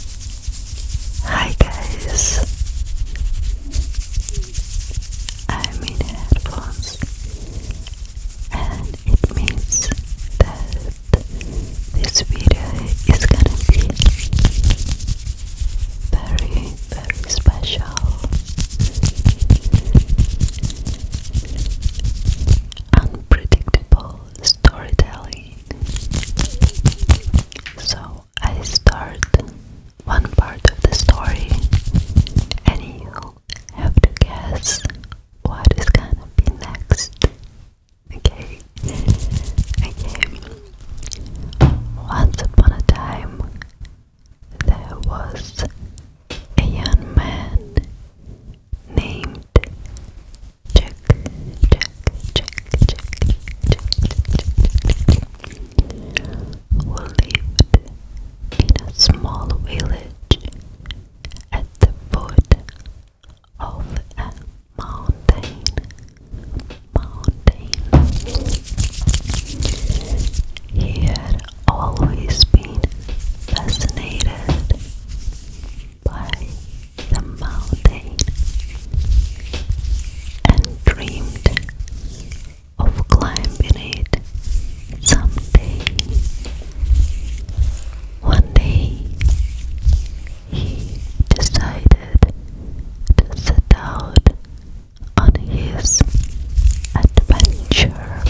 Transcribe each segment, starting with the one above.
Hi guys, I'm in headphones and it means that this video is gonna be very, very special. Unpredictable storytelling. So I start one part of the story, and you have to guess what is gonna be next. Okay, okay. Once upon a time, there was a young man named check, lived in a small village at the foot of a mountain. Mountain. He had always been fascinated by the mountain and dreamed of climbing it someday. One day he decided to set out on his adventure.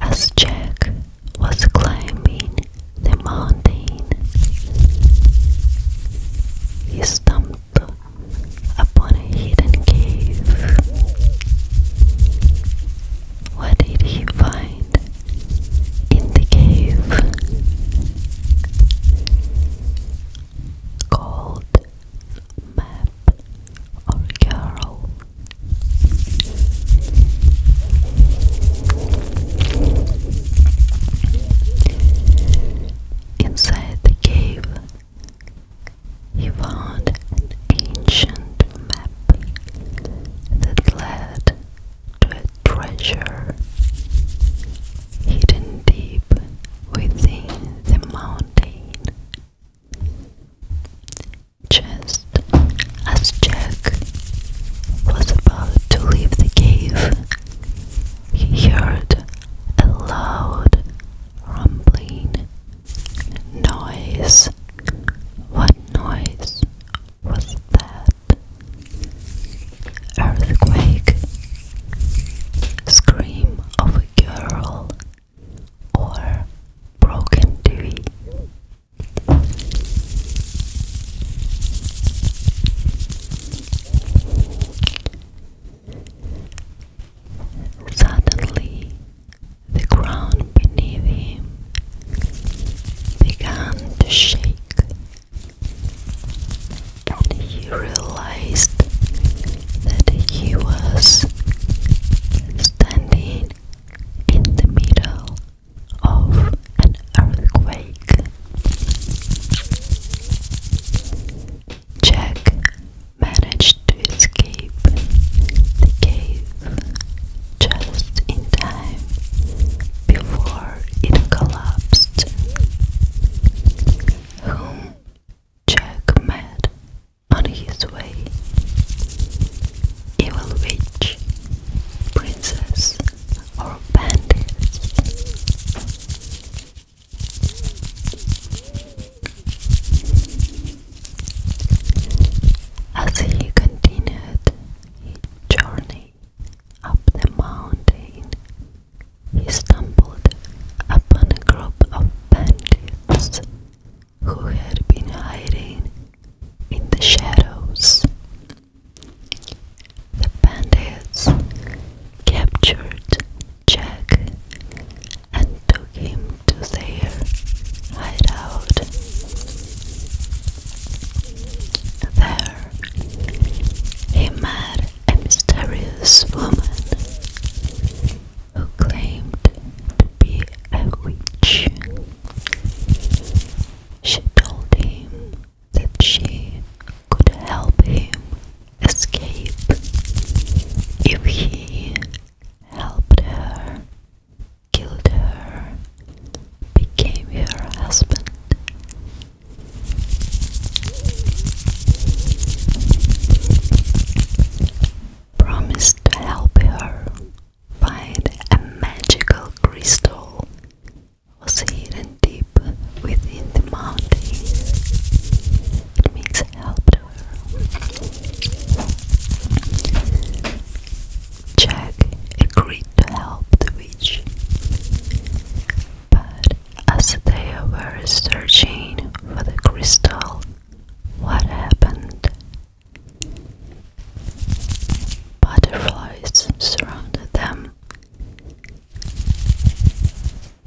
As Jack was climbing the mountain. He stumbled upon a hidden cave. What did he find in the cave? Gold, map, or girl? Inside the cave, he found an ancient map that led to a treasure hidden deep within the mountain. Just as Jack was about to leave the cave, he heard a loud rumbling noise. What noise was that? Earthquake. Scream of a girl or broken TV. Suddenly, the ground beneath him began to shake, and he realized that he was standing in the middle of an earthquake. Jack managed to escape the cave just in time before it collapsed. Jack met on his way. Evil witch, princess, or bandits. As he continued his journey up the mountain he stumbled upon a group of bandits who had been hiding in the shadows. The bandits captured Jack and took him to their hideout. There, he met a mysterious woman who claimed to be a witch. She told him that she could help him escape if he helped her, killed her, became her husband, promised to help her find a magical crystal hidden deep within the mountain. It means helped her. Jack agreed to help the witch, but as they were searching for the crystal, what happened? Butterflies surrounded them.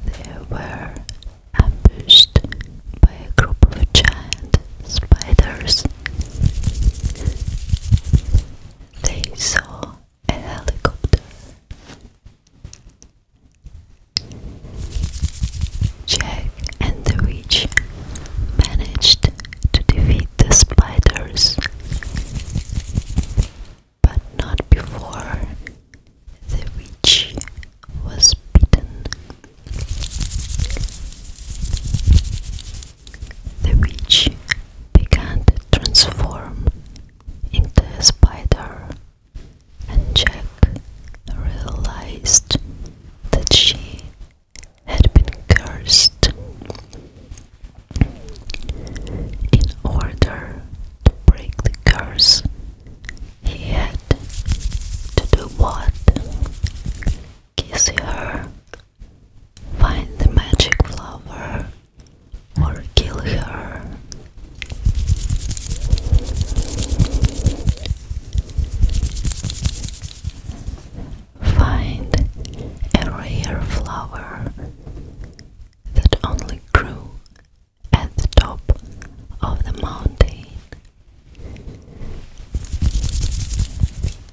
They were ambushed by a group of giant spiders. They saw Jack and the witch managed to defeat the spiders, but not before the witch was bitten. The witch began to transform into a spider, and Jack realized that she had been cursed. In order to break the curse, he had to do what? Kiss her Find the magic flower or kill her. Find a rare flower that only grew at the top of the mountain.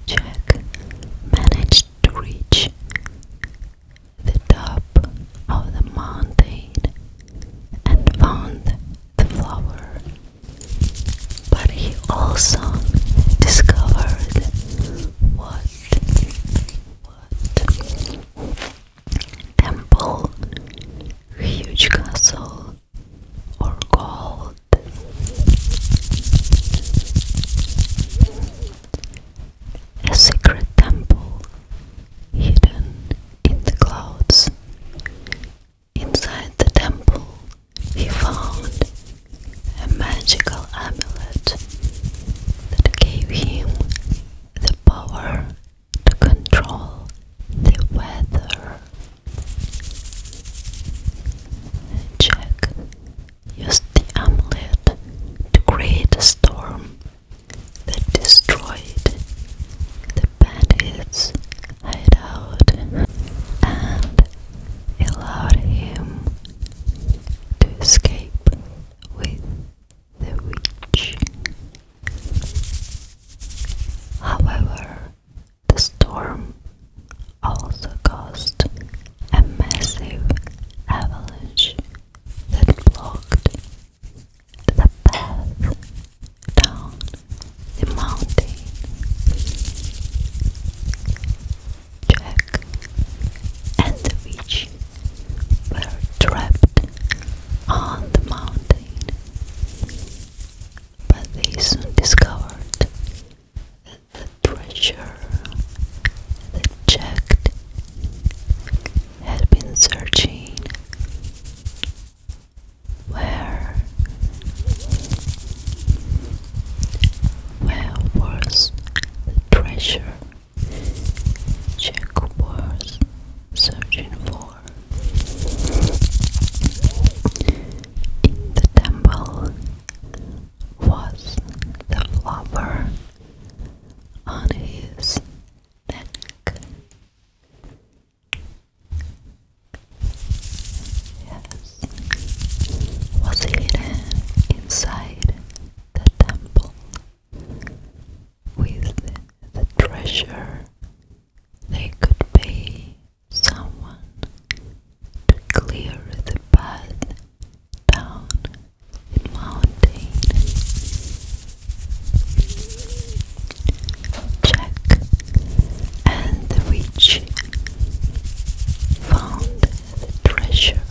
Check manage to reach the top of the mountain and found the flower. But he also discovered what what temple, huge castle, or gold a secret temple hidden in the clouds. Inside the temple, he found a magical amulet that gave him the power to control the weather. Jack used the amulet to create a storm that destroyed the bandits' hideout and allowed him to escape with the witch. However, the storm also caused a massive avalanche that blocked the path down the mountain. Jack and the witch were trapped on the mountain but they soon discovered that the treasure they checked had been searching where where was the treasure Jack was searching for in the temple was the flower on his neck. Yes, was hidden inside the temple with the treasure they could pay someone to clear the path down the mountain. Jack and the witch found the treasure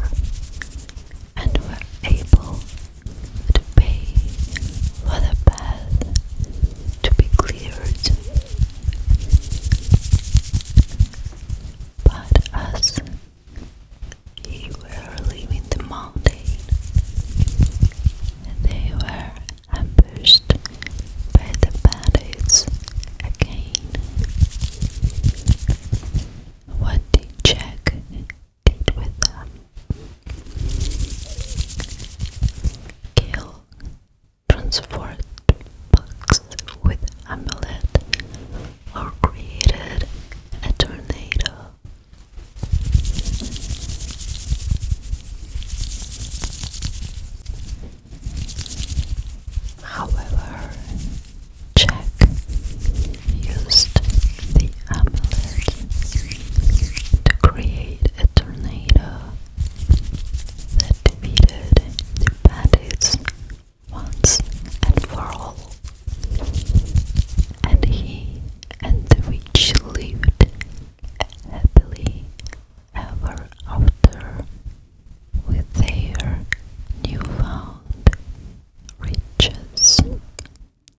and were able to pay for the path to be cleared. But as he were leaving the mountain, they were ambushed by the bandits again. What did Jack did with them Gale transferred bugs with amulet or created a tornado. However, Jack used the amulet to create a tornado that defeated the bandits once and for all. And he and the witch lived happily ever after with their newfound riches.